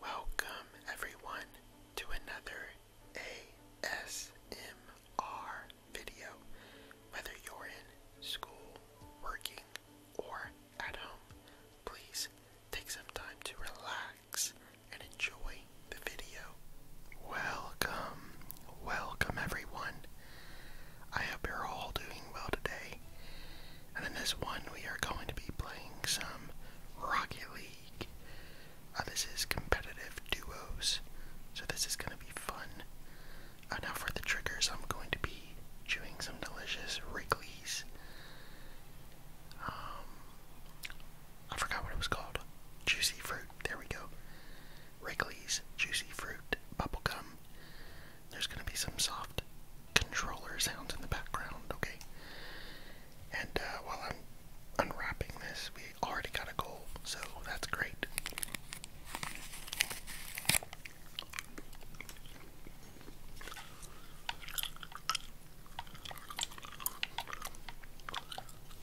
Welcome, everyone, to another ASMR video. Whether you're in school, working, or at home, please take some time to relax and enjoy the video. Welcome, welcome, everyone. I hope you're all doing well today. And in this one, we are going to be playing some Rocky League. Uh, this is competitive duos, so this is going to be fun. Uh, now, for the triggers, I'm going to be chewing some delicious Wrigley's. Um, I forgot what it was called. Juicy fruit. There we go. Wrigley's Juicy Fruit bubble gum. There's going to be some soft controller sounds in the background, okay? And uh, while I'm unwrapping this, we already got a goal, so that's great.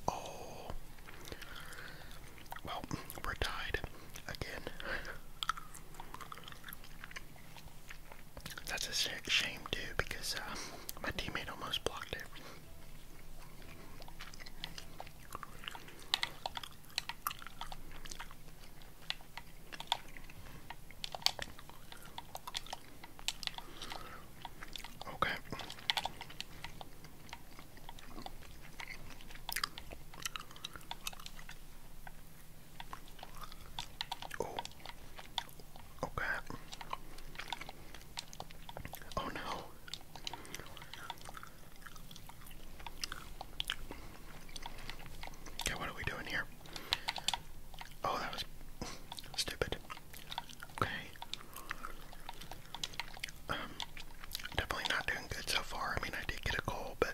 Oh, well, we're tied again. That's a sick shame too because uh, my teammate almost blocked it. Okay. Oh. Okay. Oh, oh no. Okay, what are we doing here? Oh, that was stupid. Okay. Um, definitely not doing good so far. I mean, I did get a goal, but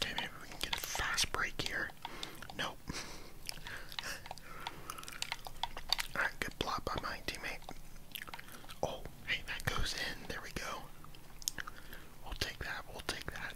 Okay, maybe we can get a fast break here. Nope. good block by my teammate. Oh, hey, that goes in. There we go. We'll take that. We'll take that.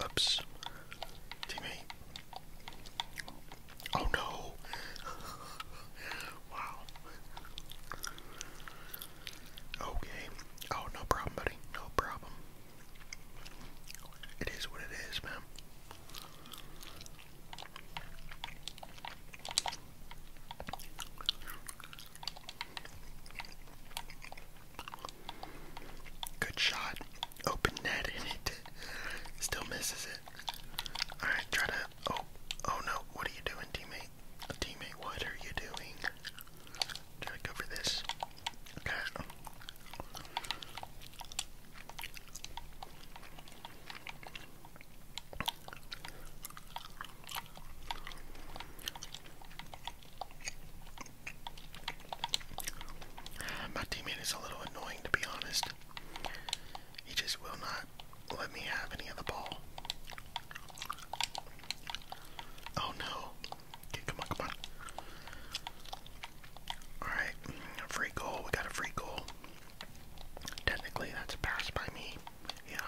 Oops, teammate. Oh no! wow. Okay. Oh, no problem, buddy. No problem. It is what it is, man. Good shot. Open net in it. Still misses it. Alright, try to. Oh, oh no. What are you doing, teammate? teammate, what are you doing? Try to this. Okay. My teammate is a little annoying to be honest. He just will not let me have any of the ball. Oh no. come on, come on. Alright, free goal. We got a free goal. Technically, that's a pass by me. Yeah.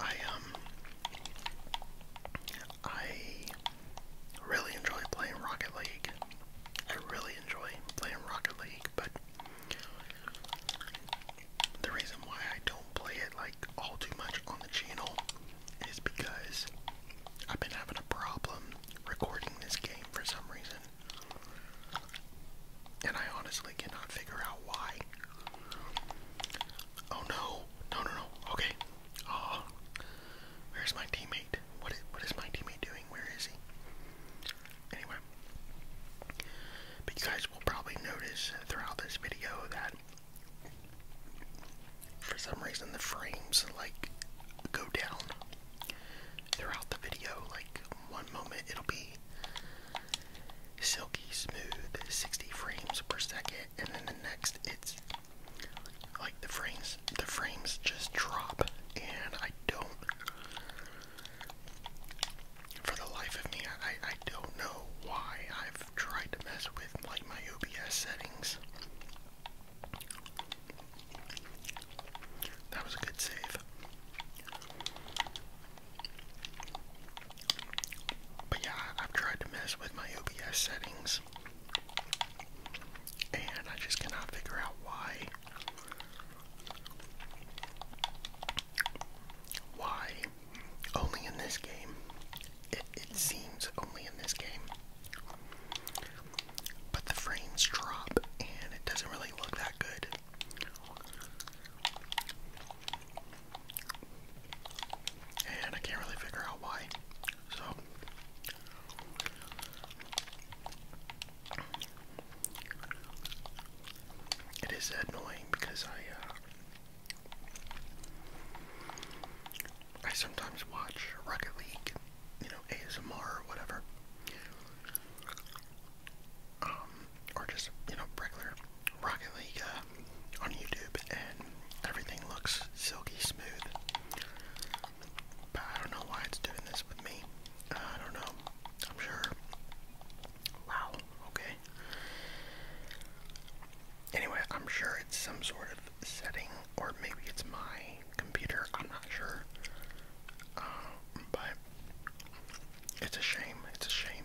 I um I really enjoy playing Rocket League. I really enjoy playing Rocket League, but the reason why I don't play it like all too much on the channel is because I've been having a problem recording this game for some reason. And I honestly cannot figure out why. Oh no. No, no, no. Okay. Oh. Where's my teammate? what is my teammate doing? Where is he? Anyway. But you guys will probably notice throughout this video that for some reason the frames like go down throughout the video. Like one moment it'll be silky smooth 60 frames per second and then the next it's like the frames the frames just drop and I don't for the life of me I, I don't know why I've tried to mess with like my OBS settings that was a good save. But yeah, I've tried to mess with my OBS settings, and I just cannot figure out why. Why only in this game? It, seems only in this game. But the frames drop, and it doesn't really look that good. And I can't really figure out why. So it is annoying because I uh, I sometimes watch Rocket League, you know, ASMR or whatever um, or just you know regular Rocket League uh, on YouTube, and everything looks silky smooth. I don't know why it's doing this with me. I don't know. I'm sure. Wow. Okay. Anyway, I'm sure it's some sort of setting, or maybe it's my computer. I'm not sure. Uh, it's a shame. It's a shame.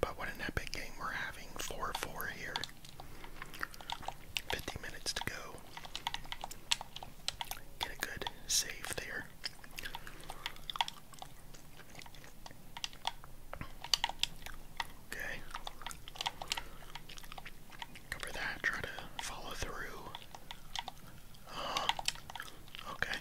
But what an epic game we're having. 4-4 here. 50 minutes to go. Get a good save there. Okay. Cover that. Try to follow through. Oh, okay.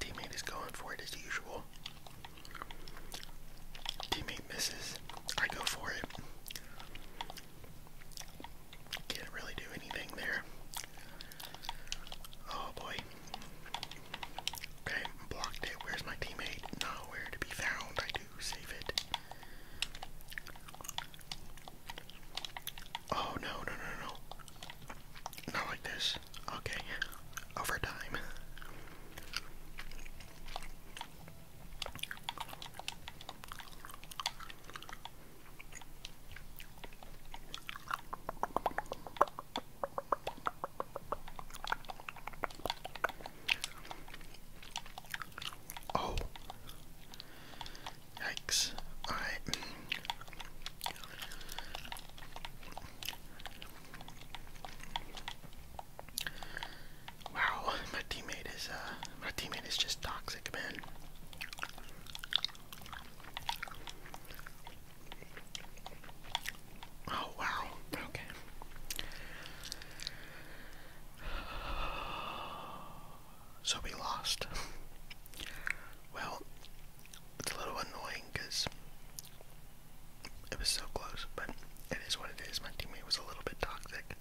Teammate is going for it as usual. Teammate misses. I go for it. Can't really do anything there. Oh boy. Okay, blocked it. Where's my teammate? Nowhere to be found. I do save it. Oh no, no, no, no. Not like this. Okay. Overtime. Oh, yikes! All right. Wow, my teammate is uh, my teammate is just toxic, man. Oh, wow. Okay. So we lost. Well, it's a little annoying because it was so close, but it is what it is. My teammate was a little bit toxic.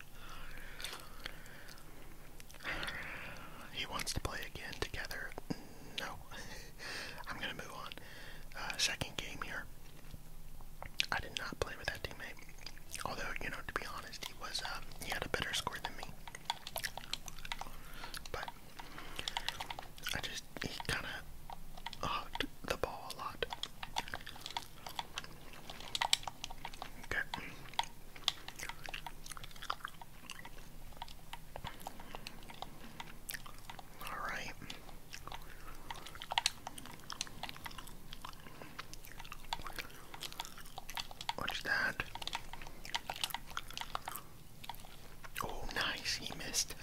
He wants to play again together. No. I'm gonna move on uh, second game here. I did not play with that teammate. Although, you know, to be honest, he was um, he had a better score than me. But I just he kind of hugged the ball a lot. Okay. All right. What's that? Oh, nice. He missed.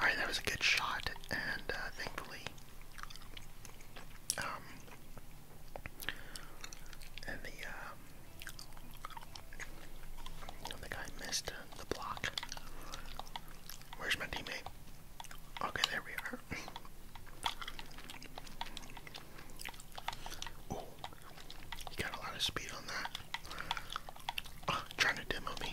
Alright, that was a good shot, and uh, thankfully, um, and the, um, the guy missed the block. Where's my teammate? Okay, there we are. oh, got a lot of speed on that. trying to demo me.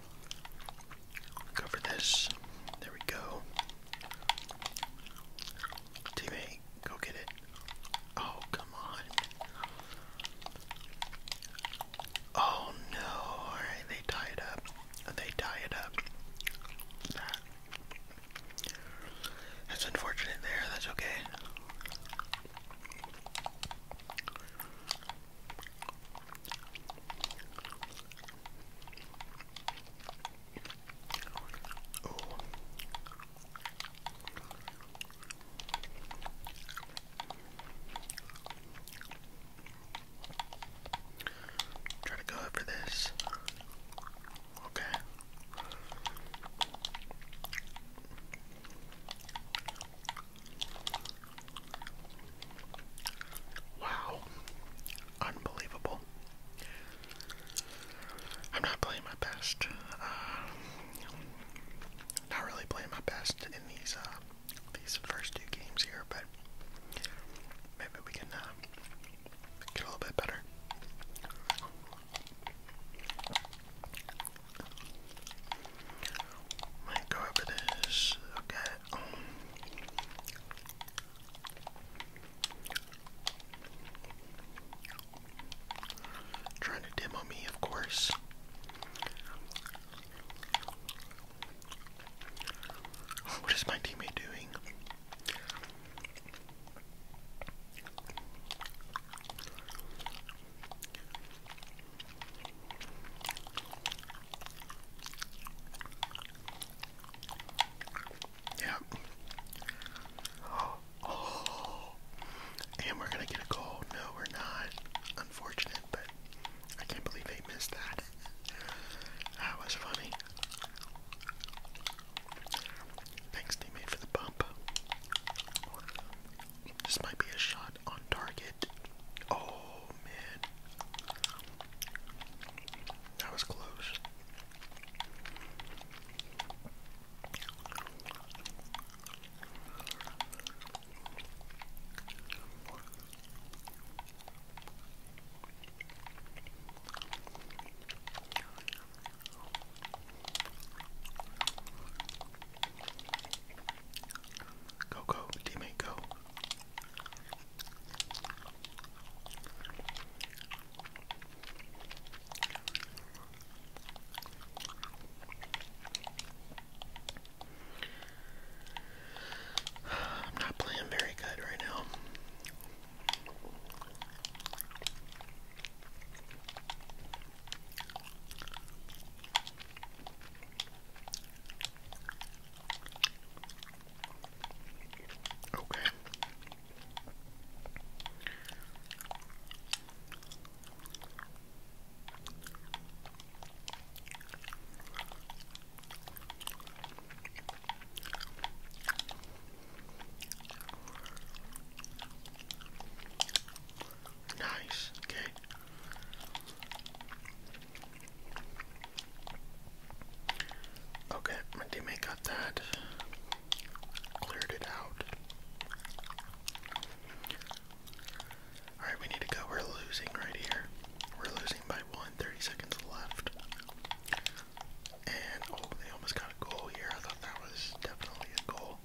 Cover this. There we go. Teammate, go get it. Oh, come on. Oh no. they tie it up. They tie it up. That's unfortunate there. That's okay. Oh. Try to go after this. Okay. Wow. Unbelievable. I'm not playing my best. Uh, not really playing my best in these uh, these first two games here, but maybe we can uh, get a little bit better. Might go over this. Okay trying to demo me, of course. What is my teammate doing? Yeah. Oh. And we're gonna get a goal. No, we're not. Unfortunate, but I can't believe they missed that. That was funny. Thanks, teammate, for the bump. This might be a shot on target. Oh, man. That was close. Go, go, teammate, go. I'm not playing very good right now. Okay. Nice, okay. Okay, my teammate got that. Cleared it out. Alright, we need to go. We're losing right here. We're losing by one, 30 seconds left. And, oh, they almost got a goal here. I thought that was definitely a goal.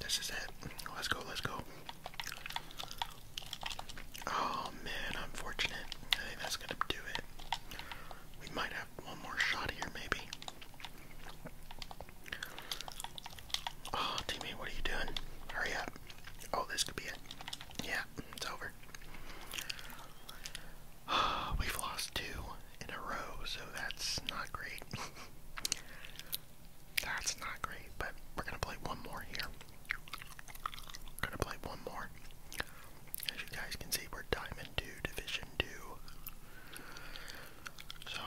This is it. Let's go, let's go. Oh man, unfortunate. I think that's gonna do it. We might have one more shot here, maybe. Oh, teammate, what are you doing? Hurry up. Oh, this could be it. Yeah, it's over. We've lost two in a row, so that's not great. that's not great, but we're gonna play one more here. gonna play one more. As you guys can see, we're Diamond 2, Division 2. So.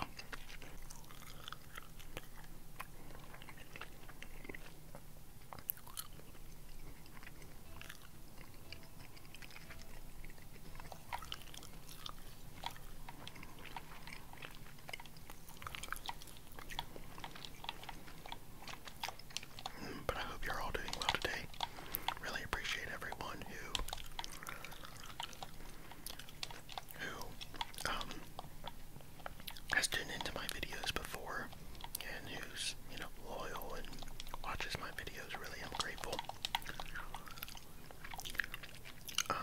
But I hope you're all doing well today. Really appreciate everyone who who um, has tuned into my videos before and who's, you know, loyal and watches my videos. Really i um,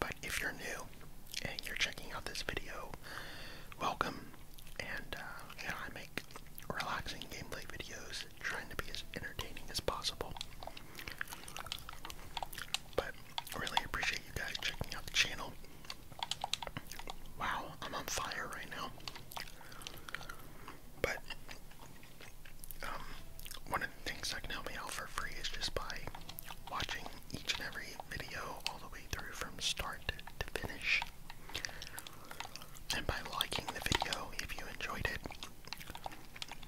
but if you're new and you're checking out this video, welcome. And uh, I make relaxing gameplay videos, trying to be as entertaining as possible. But really appreciate you guys checking out the channel. Wow, I'm on fire right now. But um, one of the things that can help me out for free is just by watching each and every video all the way through from start to finish. And by liking the video if you enjoyed it.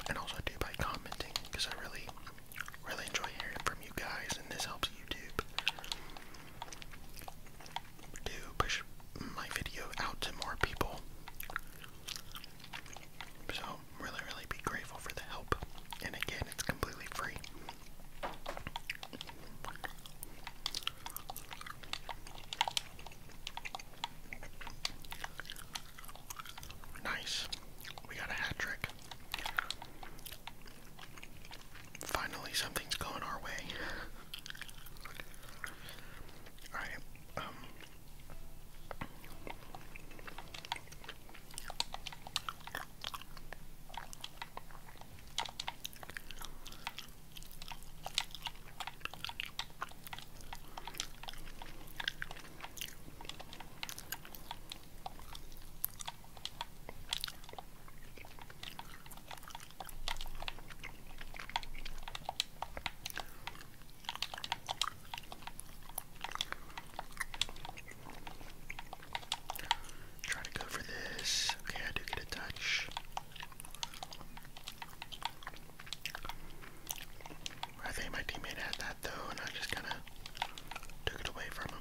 And also do by commenting because I really, really enjoy hearing from you guys and this helps YouTube to push my video out to more people. So, really, really be grateful for the help. And again, it's completely free. Nice. We got a hat trick. Finally, something's going our way. Alright, um. Try to go for this. Okay, I do get a touch. I think my teammate had that though, and I just kind of took it away from him.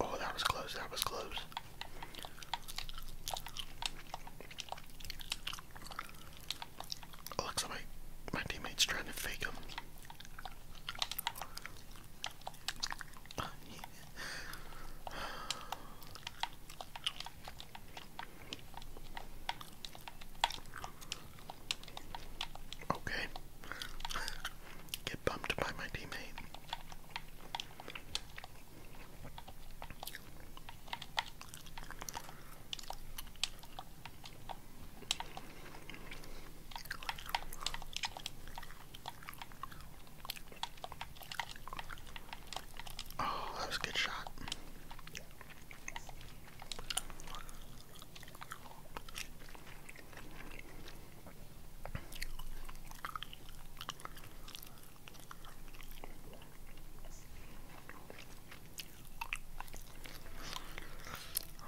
Oh, that was close. That was close. looks like my, my teammate's trying to fake him. Okay get bumped by my teammate. Oh, that was a good shot.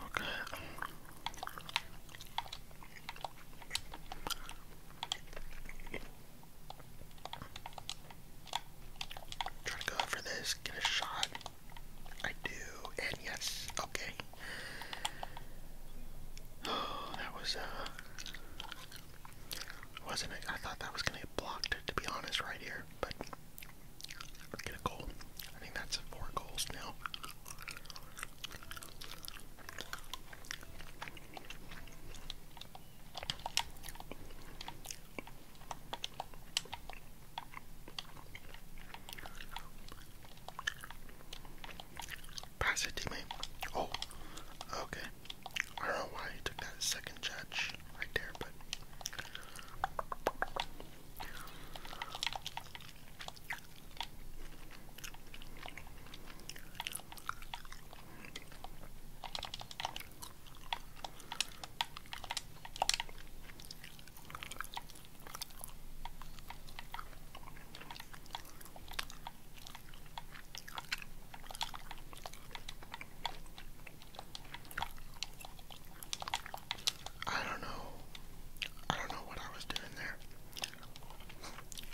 Okay. Try to go for this, get a shot. I do, Yes. Okay. Oh, that was uh wasn't I thought that was gonna get blocked to be honest right here, but get a goal. I think that's four goals now. Pass it, teammate. Oh, okay. I don't know why he took that second judge right there, but. I don't know. I don't know what I was doing there.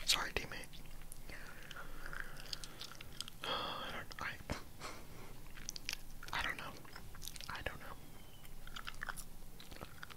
Sorry, teammate. I don't. know. I don't know.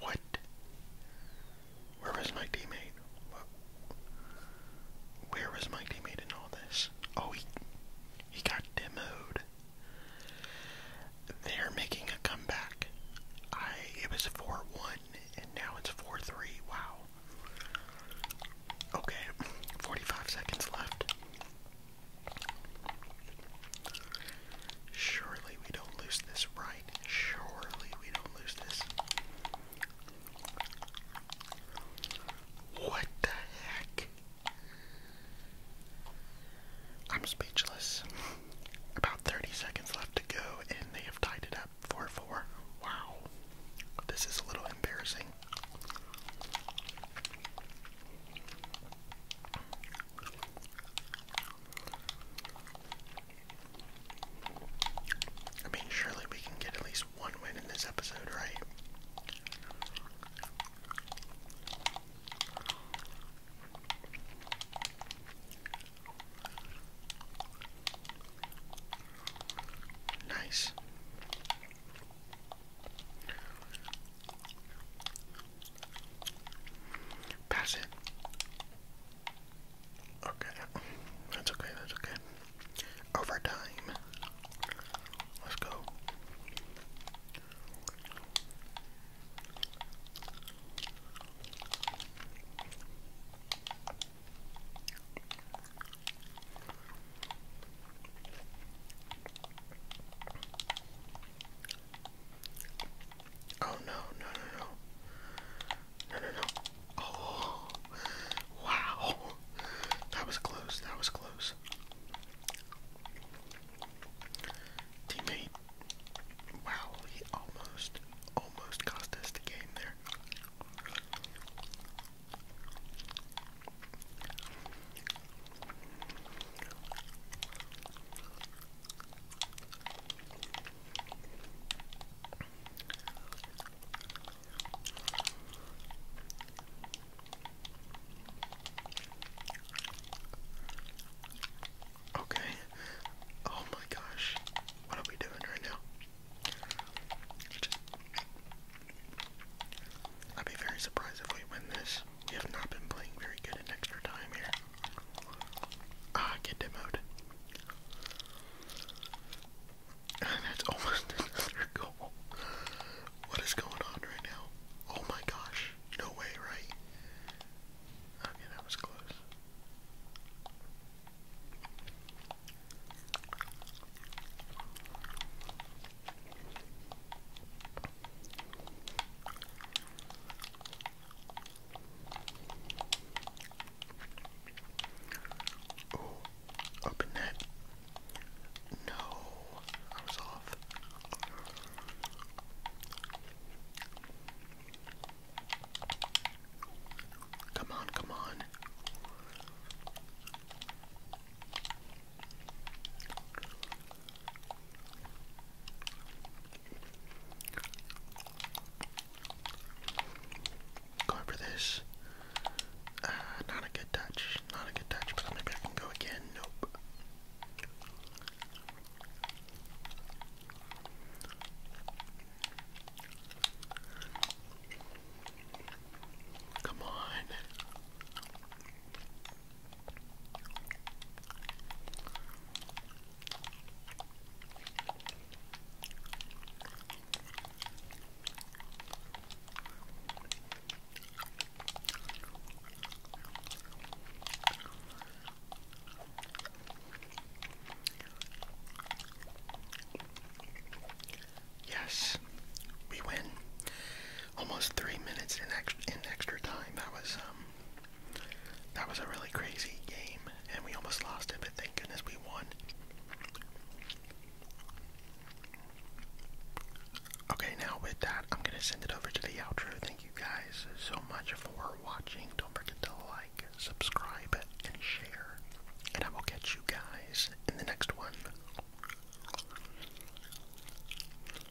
What? Where was my teammate? What? Where was my teammate in all this? Oh, he, he got demoted. They're making a comeback. I it was 4-1 and now it's 4-3. Wow. Okay, 45 seconds left. Surely we don't lose this right. Surely we don't lose this. What the heck? I'm speechless. About 30 seconds left to go, and they have tied it up 4 4. Wow. This is a little embarrassing. I mean, surely we can get at least one win in this episode, right? Nice. Pass it. Okay, that's okay, that's okay. Overtime. Let's go. Oh no, no, no, no. No, no, Oh, wow. That was close. That was close. Teammate. Wow, he almost, almost cost us the game there. Okay. Oh my gosh. What are we doing right now? Just, I'd be very surprised if we win this. We have not been playing very good in extra time here. Ah, get demoted! And that's almost another goal. What is going on right now? Oh my gosh. No way, right? Okay, that was close. Oh, open that. No, I was off. Come on, come on. Going for this. Uh, not a good touch. Not a good touch, maybe I can go again. Nope. Come on. Yes, we win almost three minutes in extra, time. That was um, that was a really crazy game, and we almost lost it, but thank goodness we won. Okay, now with that, I'm gonna send it over to the outro. Thank you guys so much for watching. Don't forget to like, subscribe, and share. And I will catch you guys in the next one.